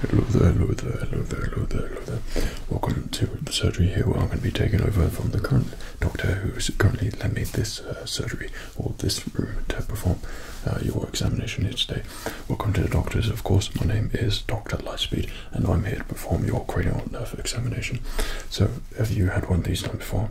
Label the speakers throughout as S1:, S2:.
S1: Hello there, hello there, hello there, hello there, hello there. Welcome to the surgery here where I'm going to be taking over from the current doctor who is currently lent me this uh, surgery or this room to perform uh, your examination here today. Welcome to the doctors, of course. My name is Dr. Lightspeed and I'm here to perform your cranial nerve examination. So, have you had one of these done before?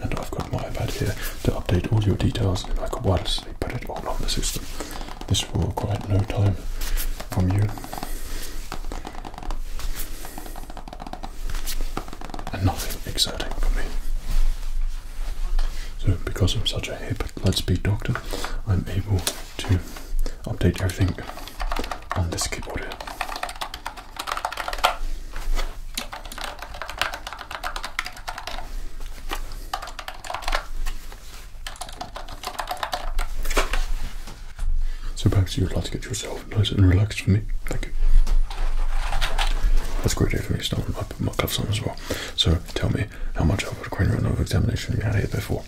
S1: and I've got my iPad here to update all your details and I can wirelessly put it all on the system. This will require no time from you. And nothing exerting from me. So, because I'm such a hip, light-speed doctor, I'm able to update everything on this keyboard here. So perhaps you would like to get yourself nice and relaxed for me. Thank you. That's great day for me, so I put my cuffs on as well. So tell me how much I'll put a cranial nerve examination you your head before.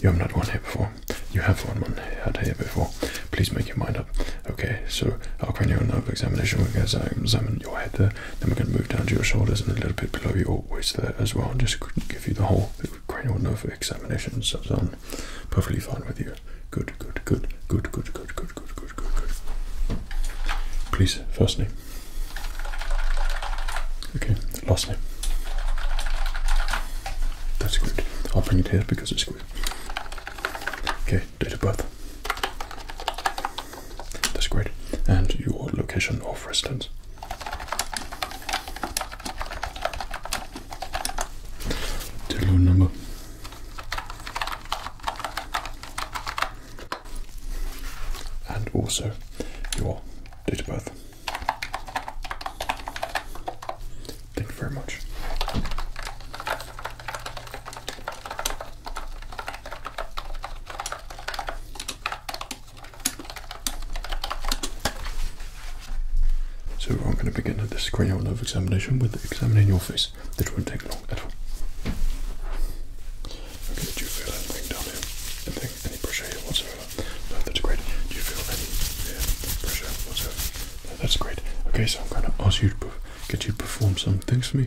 S1: You haven't one here before. You have one, one had here before. Please make your mind up. Okay, so I'll put our cranial nerve examination, we will going to examine your head there. Then we're going to move down to your shoulders and a little bit below your waist there as well. Just give you the whole cranial nerve examination. So I'm um, perfectly fine with you. Good, good, good, good, good, good, good, good, good, good, good. Please, first name. Okay, last name. That's good. I'll bring it here because it's good. Okay, Date of birth. That's great. And your location of residence. Telephone number. And also your date of birth. Thank you very much. So I'm going to begin this cranial nerve examination with examining your face. This won't take long at all. Okay, do you feel anything down here? Anything? Any pressure here whatsoever? No, that's great. Do you feel any yeah, pressure whatsoever? No, that's great. Okay, so I'm going to ask you to get you to perform some things for me.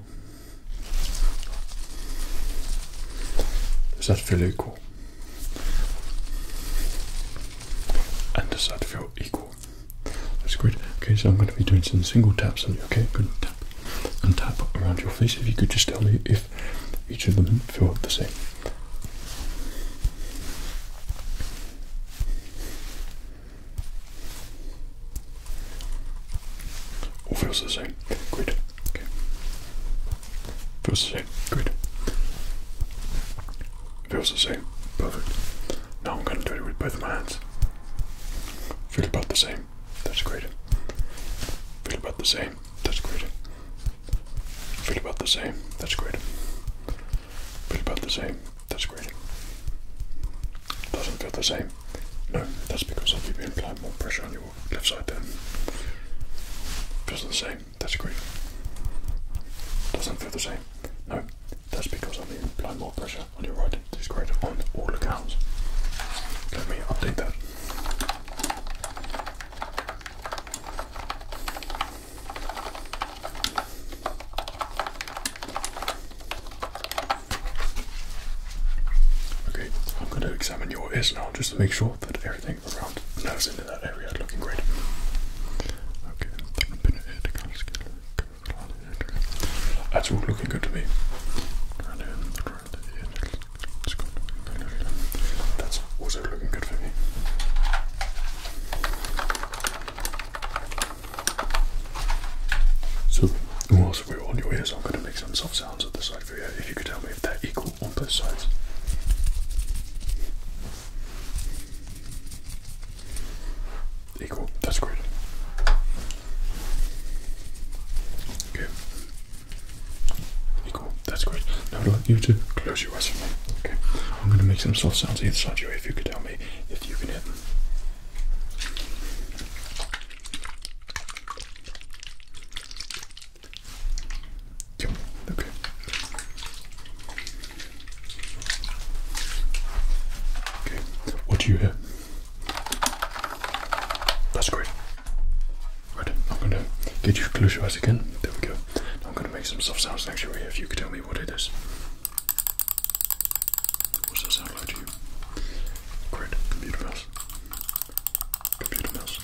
S1: does that feel equal? And does that feel equal? That's great. Okay, so I'm going to be doing some single taps on you. Okay, good. Tap and tap around your face. If you could just tell me if each of them feel the same. All feels the same. Good. Feels the same. Good. Feels the same. Perfect. Now I'm going to do it with both my hands. Feel about the same. That's great. Feel about the same. That's great. Feel about the same. That's great. Feel about the same. That's great. Doesn't feel the same. No, that's because i am been applying more pressure on your left side there. Feels the same, that's great. Doesn't feel the same. No, that's because i am been applying more pressure on your right. It is is great on all accounts. Let me update that. Okay, I'm going to examine your ears now just to make sure that everything around the into that area looking great. Okay, that's all looking good to me. That's also looking good for me. So, whilst we're on your ears, I'm going to make some soft sounds at the side of for you. If you could tell me if they're equal on both sides. Equal. That's great. Okay. Equal. That's great. Now I'd you to close your eyes for me. Okay. I'm going to make some soft sounds either side of you. If you could tell me if you can hear them okay. Okay, what do you hear? That's great. Right, I'm gonna get you to close your eyes again. There we go. I'm gonna make some soft sounds next to your ear if you could tell me what it is. What does that sound like to you? computer mouse. Computer mouse.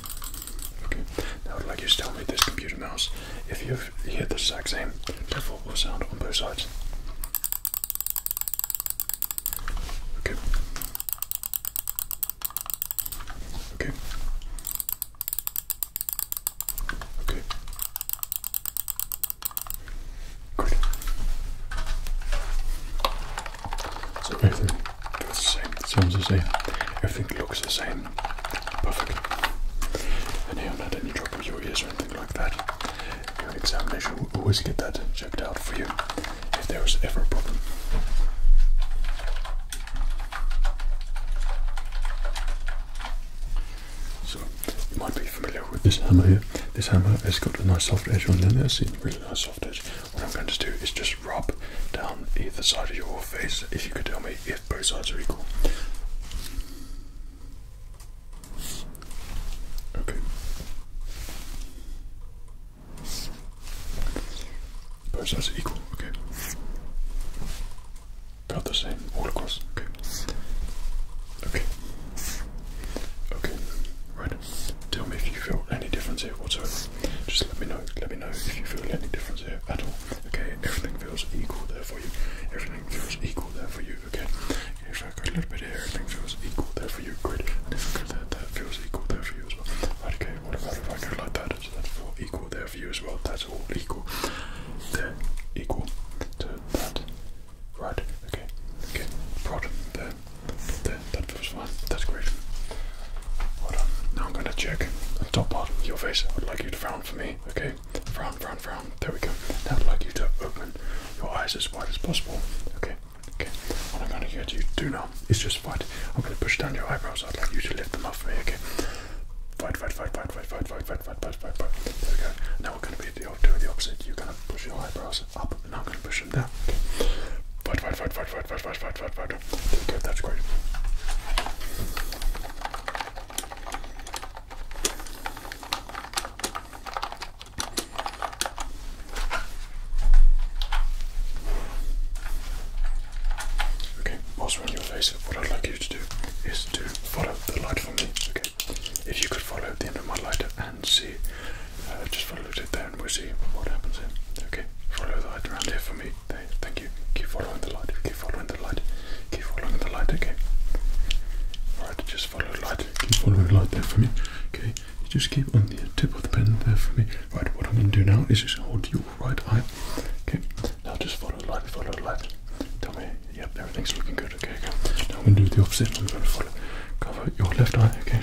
S1: Okay, now I'd like you to tell me this computer mouse, if you've the same level or sound on both sides. Okay. Okay. Okay. Good. So everything feels the same, sounds the same, everything looks the same. Perfect. And here, not any trouble with your ears or anything like that. Your examination will always get that checked out for you if there is ever a problem. So, you might be familiar with this hammer here. This hammer has got a nice soft edge on there, so you really soft edge. What I'm going to do is just rub down either side of your face. If you could tell me if both sides are equal. Okay. Both sides equal. Okay. About the same all across. Okay. Okay. Okay. Right side. Tell me if you feel any difference here whatsoever. Just let me know. Let me know if you feel any difference here at all. Okay, everything feels equal there for you. Everything feels equal there for you. Okay, if I go a little bit here, everything feels equal there for you. Great. And if I go there, that feels equal there for you as well. Right, okay, what about if I go like that? So that's all equal there for you as well. That's all equal. There, equal to that. Right, okay, okay, brought there, there, that was one, that's great. Hold on, now I'm gonna check the top part of your face. I'd like you to frown for me, okay? Frown, frown, frown, there we go. Now I'd like you to open your eyes as wide as possible, okay? Okay, what I'm gonna get you to do now is just fight. I'm gonna push down your eyebrows, I'd like you to lift them up for me, okay? Fight, fight, fight, fight, fight, fight, fight, fight, fight, fight, fight, fight. There we go. Now we're gonna be doing the opposite. You're gonna push your eyebrows up, and I'm gonna push description Fight, fight, fight, fight, fight, fight, fight, fight, fight, fight. There that's great. Okay, whilst we're on your face, what I'd like you to do is to follow the light for me, okay? if you could follow the end of my light and see, uh, just follow it there and we'll see what happens here. Okay, follow the light around here for me. There, thank you. Keep following the light, keep following the light, keep following the light, okay. Alright, just follow the light, keep following the light there for me. Okay, just keep on the tip of the pen there for me. Right, what I'm going to do now is just hold your right eye. Okay, now just follow the light, follow the light. Tell me, yep, everything's looking good okay, okay. I'm going to do the opposite. I'm going to follow, cover your left eye, okay?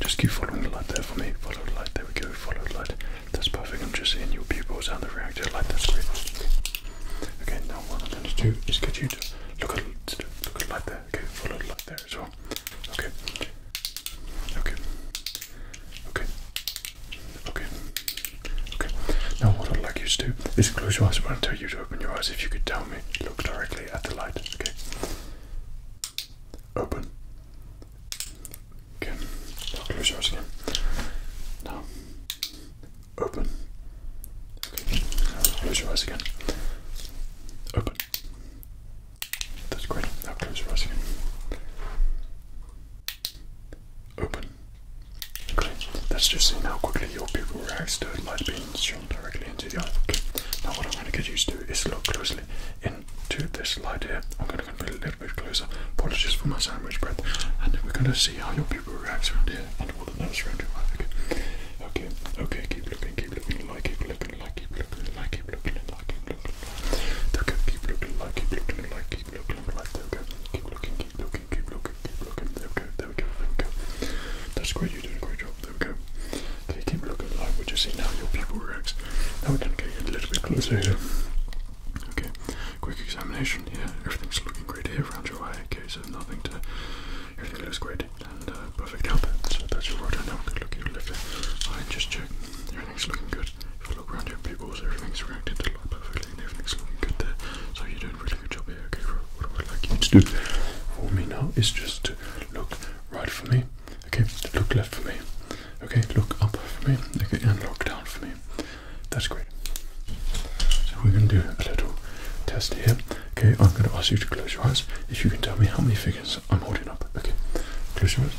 S1: Just keep following the light there for me. Follow the light, there we go. Follow the light. That's perfect. I'm just seeing your pupils and the reactor light. That's great. Okay, now what I'm going to do is get you to look at, look at the light there. Okay, follow the light there as well. Okay. Okay. Okay. Okay. Okay. Now what I'd like you to do is close your eyes when I tell you to open your eyes. If you could tell me, look directly at the light. Okay. Open. Okay. close your eyes again. Now. Open. close your eyes again. Open. That's great. Now close your eyes again. Open. Great. That's just seeing how quickly your pupil react to light beams directly into the eye. Now what I'm going to get used to is look closely into this light here. I'm going to come a little bit closer. Apologies for my sandwich breath. And then we're going to see how your pupil reacts around here and all the nerves around here. eye. Okay. Okay. Okay. Keep looking. Keep looking. Like. Keep looking. Like. Keep looking. Like. Keep looking. Like. Keep looking. Okay. Keep looking. Like. Keep looking. Like. Keep looking. Like. There we go. Keep looking. Keep looking. Keep looking. Keep looking. There we go. There we go. There we go. That's great. You're doing a great job there Okay, keep looking we just see now your pupil reacts. Now we can get a little bit closer here. Okay, quick examination Yeah, everything's looking great here around your eye. Okay, so nothing to. Everything looks great and uh, perfect help. So your right Now we can look at your left eye just check. Everything's looking good. If you look around your pupils, everything's reacting to light perfectly everything's looking good there. So you're doing really good job here. Okay, what I would like you to do for me now is just Look right for me. Okay, look left for me. Okay, look up for me. Okay, and look down for me. That's great. So we're gonna do a little test here. Okay, I'm gonna ask you to close your eyes. If you can tell me how many figures I'm holding up. Okay, close your eyes.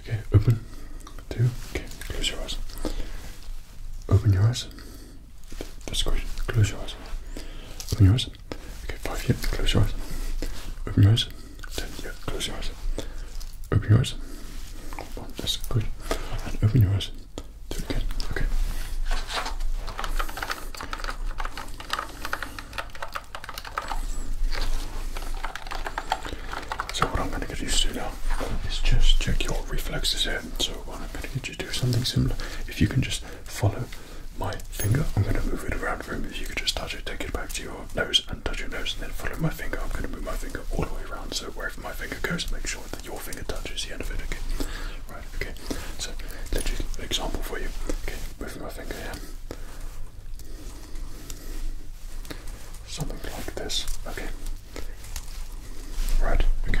S1: Okay, open. Two. Okay, close your eyes. Open your eyes. That's great. Close your eyes. Open your eyes. Okay, five, yeah. Close your eyes. Open your eyes. Ten, yeah. Close your eyes. Open your eyes. One, that's good. And open your eyes. Do it again. Okay. So what I'm going to get you to do now is just check your reflexes here. So what I'm going to get you to do is something similar. If you can just follow my finger. I'm going to move it around the room. you could just touch it, take it back to your nose and touch your nose, and then follow my finger. I'm going to move my finger all the way around. So wherever my finger goes, make sure that your finger touches the end of it. Okay. Right. Okay. So let's just an example for you. Okay. Moving my finger here. Something like this. Okay. Right. Okay.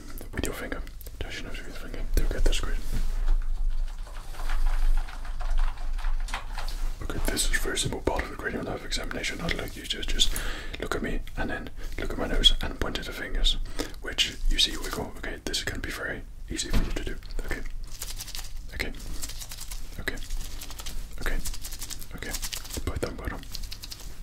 S1: this with your finger. Dash your nose with your finger. Do get this great. Okay, this is a very simple part of the cranial nerve examination. I'd like you to just look at me and then look at my nose and point at the fingers, which you see wiggle. Okay, this is going to be very easy for you to do. Okay. Okay. Okay. Okay. Okay. Put them, put them.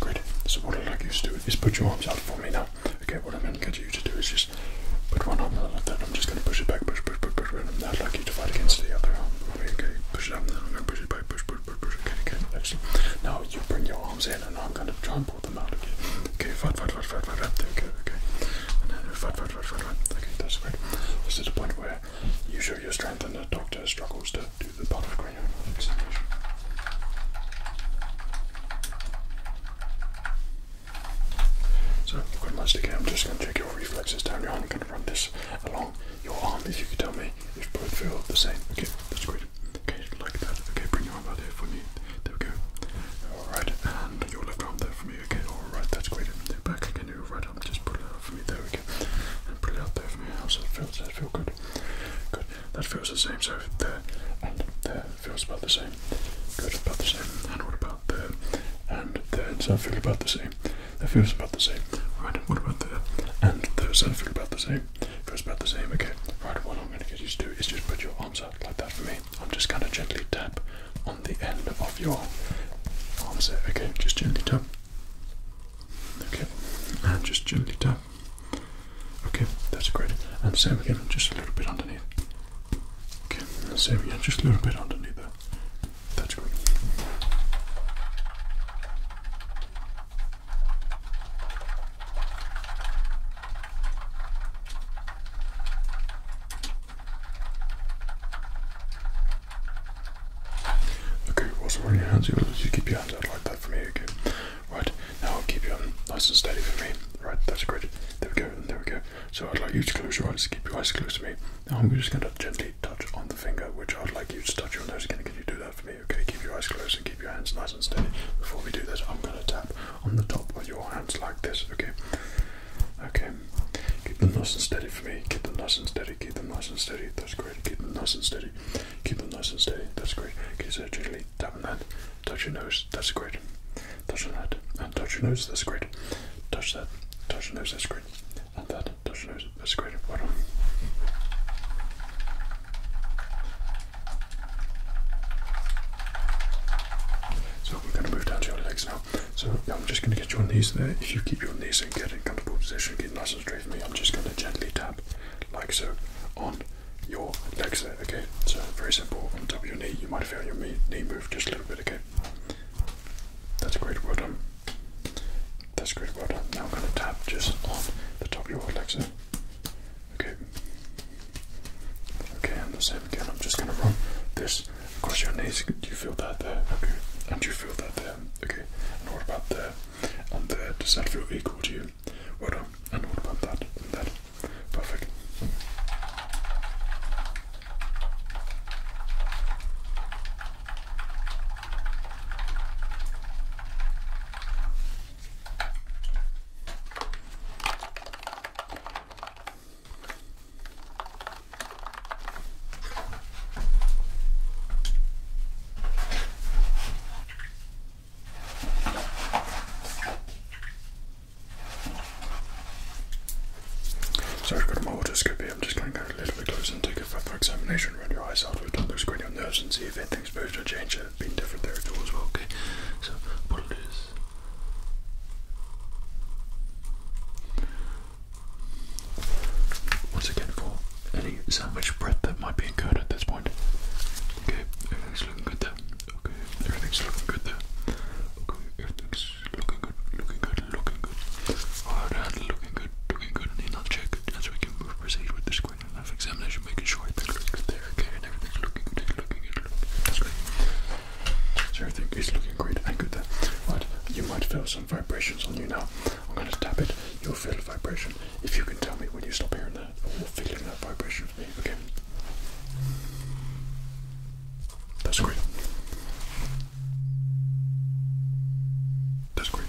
S1: Great. So what I'd like you to do is put your arms out for me now. Okay, what I'm going to get you to do is just put one arm out like that. I'm just going to push it back, push, push, push, push. And I'd like you to fight against the other arm. Okay, okay. Push it up, and then I'm going to push it back, push, push, push, push. Okay, okay, excellent. Now you bring your arms in, and I'm going to try and pull okay? fight, fight, fight, fight, fight, fight, okay, okay. And then uh, fight, fight, fight, fight, fight, okay, that's great. This is the point where you show your strength and the doctor struggles to do the part of cranial examination. So, I've got my I'm just going to check your reflexes down your arm. I'm going to run this along your arm if you could tell me if both feel the same. Okay, that's great. Okay, like that. Okay, bring your arm there for me. There we go. Alright, and your left arm there for me. Okay, alright, that's great. And back again, your right arm. Just pull it out for me. There we go. And pull it out there for me. Also that feel? Does good? Good. That feels the same. So there and there feels about the same. Good, about the same. And what about there? And there. Does that feels about the same? That feels about the same. Right, what about there? And there. Does that feel about the same? Feels about the same. Okay. Right, what I'm going to get used to is just put your arms out like that for me. I'm just going to gently tap on the end of your arms there. Okay, just gently tap. Okay, and just gently tap. Okay, that's great. And same again, just a little bit underneath. Okay, and same again, just a little bit underneath That's great. Okay, whilst we your hands, you keep your hands out like that for me, okay? Right, now I'll keep you on nice and steady for me. Right, that's great. There we go, there we go. So I'd like you to close your eyes, keep your eyes closed to me. Now I'm just going to gently touch on the finger, which I'd like you to touch your nose again. Can you do that for me? okay? Keep your eyes closed and keep your hands nice and steady. Before we do this, I'm going to tap on the top of your hands like this, okay? Okay, keep them nice and steady for me. Keep them nice and steady. Keep them nice and steady. That's great. Keep them nice and steady. Keep them nice and steady. That's great. Okay, so gently tap on that. Touch your nose. That's great. Touch that. And touch your nose. That's great. Touch that. Touch your nose. That's great. And that. Touch your nose. That's great. Well so we're going to move down to your legs now. So I'm just going to get your knees there. If you keep your knees and get in comfortable position, get nice and straight for me. I'm just going to gently tap like so on your legs there. Okay. So very simple. On top of your knee, you might feel your knee move just a little bit. Okay. That's great. Well done. That's great. Well done. Now I'm going to tap just on the top of your legs there. Okay. Okay, and the same again. I'm just gonna run this across your knees. Do you feel that there? Okay. And you feel that there? Okay. And what about there? And there? Does that feel equal to you? Well done. And what about that? that? Perfect. So I've got my otoscopy, I'm just going to go a little bit closer and take a further examination Run your eyes after we've done those cranial nerves and see if anything's supposed to change have different there too as well, okay? So apologies. Once again for any sandwich bread that might be incurred at this point. Okay, everything's looking good there. Okay, everything's looking good there. Okay, everything's looking good, looking good, looking good. Alright, looking good, looking good. Need not as we can proceed with this quiz enough examination, making sure I better look there, okay, and everything's looking good, looking good, looking good. So everything is looking great I'm good there. Right, you might feel some vibrations on you now. I'm going to tap it, you'll feel a vibration. If you can tell me when you stop hearing that I'll feel that vibration for me, okay? That's great. That's great.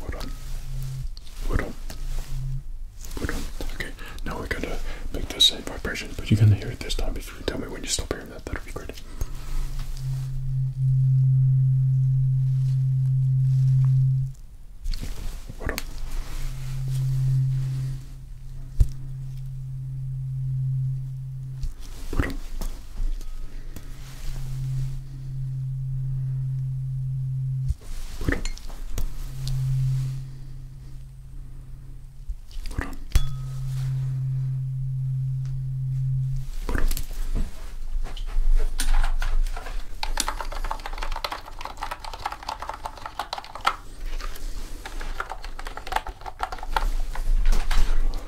S1: Wooden. Wooden. Wooden. Okay, now we're gonna make the same vibration, but you're gonna hear it this time. If you tell me when you stop hearing that, that'll be great. Wooden. Wooden. Hold on.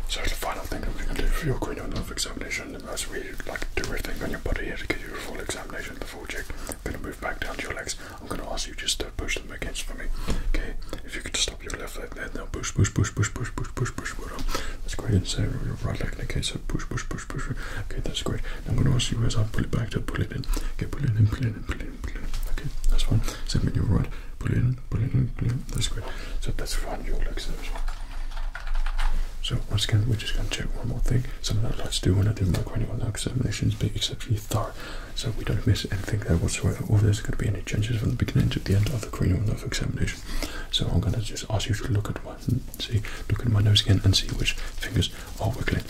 S1: So the final thing I'm going to do for your cranial nerve examination examination, I was really like do everything on your body here to give you a full examination, the full check. I'm going to move back down to your legs. I'm going to ask you just to push them against for me. Okay, if you could stop your left leg there, now push, push, push, push, push, push, push, push. Well done. That's great. And so your right leg. Okay, so push, push, push, push. Okay, that's great. Now I'm going to ask you as I pull it back to pull it in. Okay, pull it in, pull it in, pull it in, pull it in. Okay, that's fine. Same with your right. Pull it in, pull it in, pull it in. That's great. So that's fine. Your legs there as well. So once again, we're just going to check one more thing. Something I like to do when I do my cranial examinations, be exceptionally thorough, so we don't miss anything there whatsoever, all there's going to be any changes from the beginning to the end of the cranial nerve examination. So I'm going to just ask you to look at my see, look at my nose again, and see which fingers are wiggling.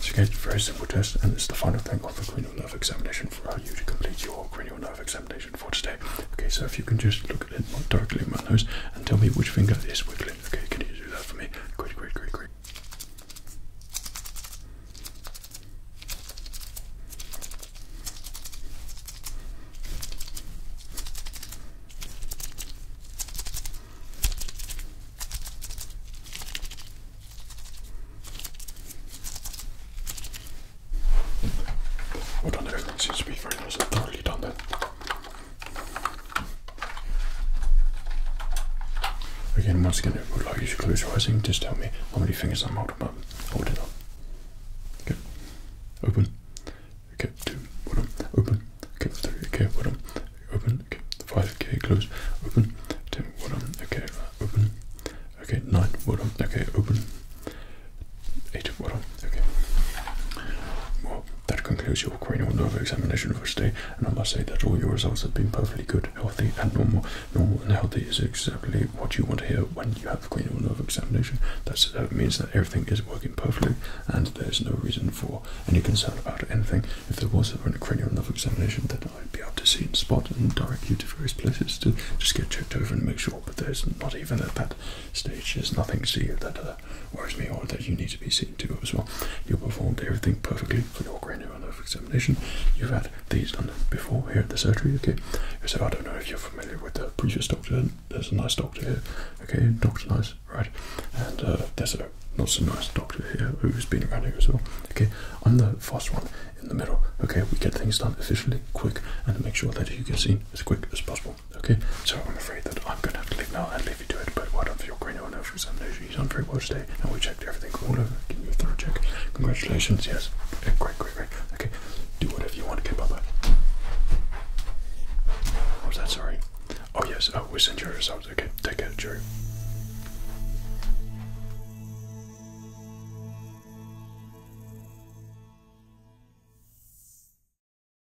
S1: So again, very simple test, and it's the final thing of the cranial nerve examination for you to complete your cranial nerve examination for today. Okay, so if you can just look at it directly at my nose and tell me which finger is wiggling. Good. Okay, can you do that for me? Great, great, great, great. Well done everyone, seems to be very nice and thoroughly done then. Again, once again, I would like you to close your eyes and just tell me how many fingers I'm holding up. Hold it up. Okay. Open. Okay, two. up? Open. Okay, three. Okay, up? Open. Okay, five. Okay, close. Open. Ten. up? Okay, open. Okay, nine. up? Okay, open. Eight. up? Okay. That concludes your cranial nerve examination for today, and I must say that all your results have been perfectly good, healthy, and normal. Normal and healthy is exactly what you want to hear when you have a cranial nerve examination. that uh, means that everything is working perfectly, and there's no reason for any concern about anything. If there was a cranial nerve examination, then I'd be able to see and spot and direct you to various places to just get checked over and make sure. But there's not even at that stage. There's nothing to see that. Uh, other. Whereas the that you need to be seen to as well. You performed everything perfectly for your cranial nerve examination. You've had these done before here at the surgery, okay? So I don't know if you're familiar with the previous doctor. There's a nice doctor here, okay? Doctor nice, right? And uh, there's a not so nice doctor here who's been around here as well, okay? I'm the first one in the middle, okay? We get things done efficiently, quick, and make sure that you get seen as quick as possible. Okay, so I'm afraid that I'm going to have to leave now and leave you to it, but what of your cranial and nerve examination? You've done very well today, and we checked everything all over. Give you a check. Congratulations, yes. Yeah, uh, great, great, great. Okay, do whatever you want. to bye-bye. What was that? Sorry. Oh, yes. Oh, we sent your results. Okay, take care, Jerry.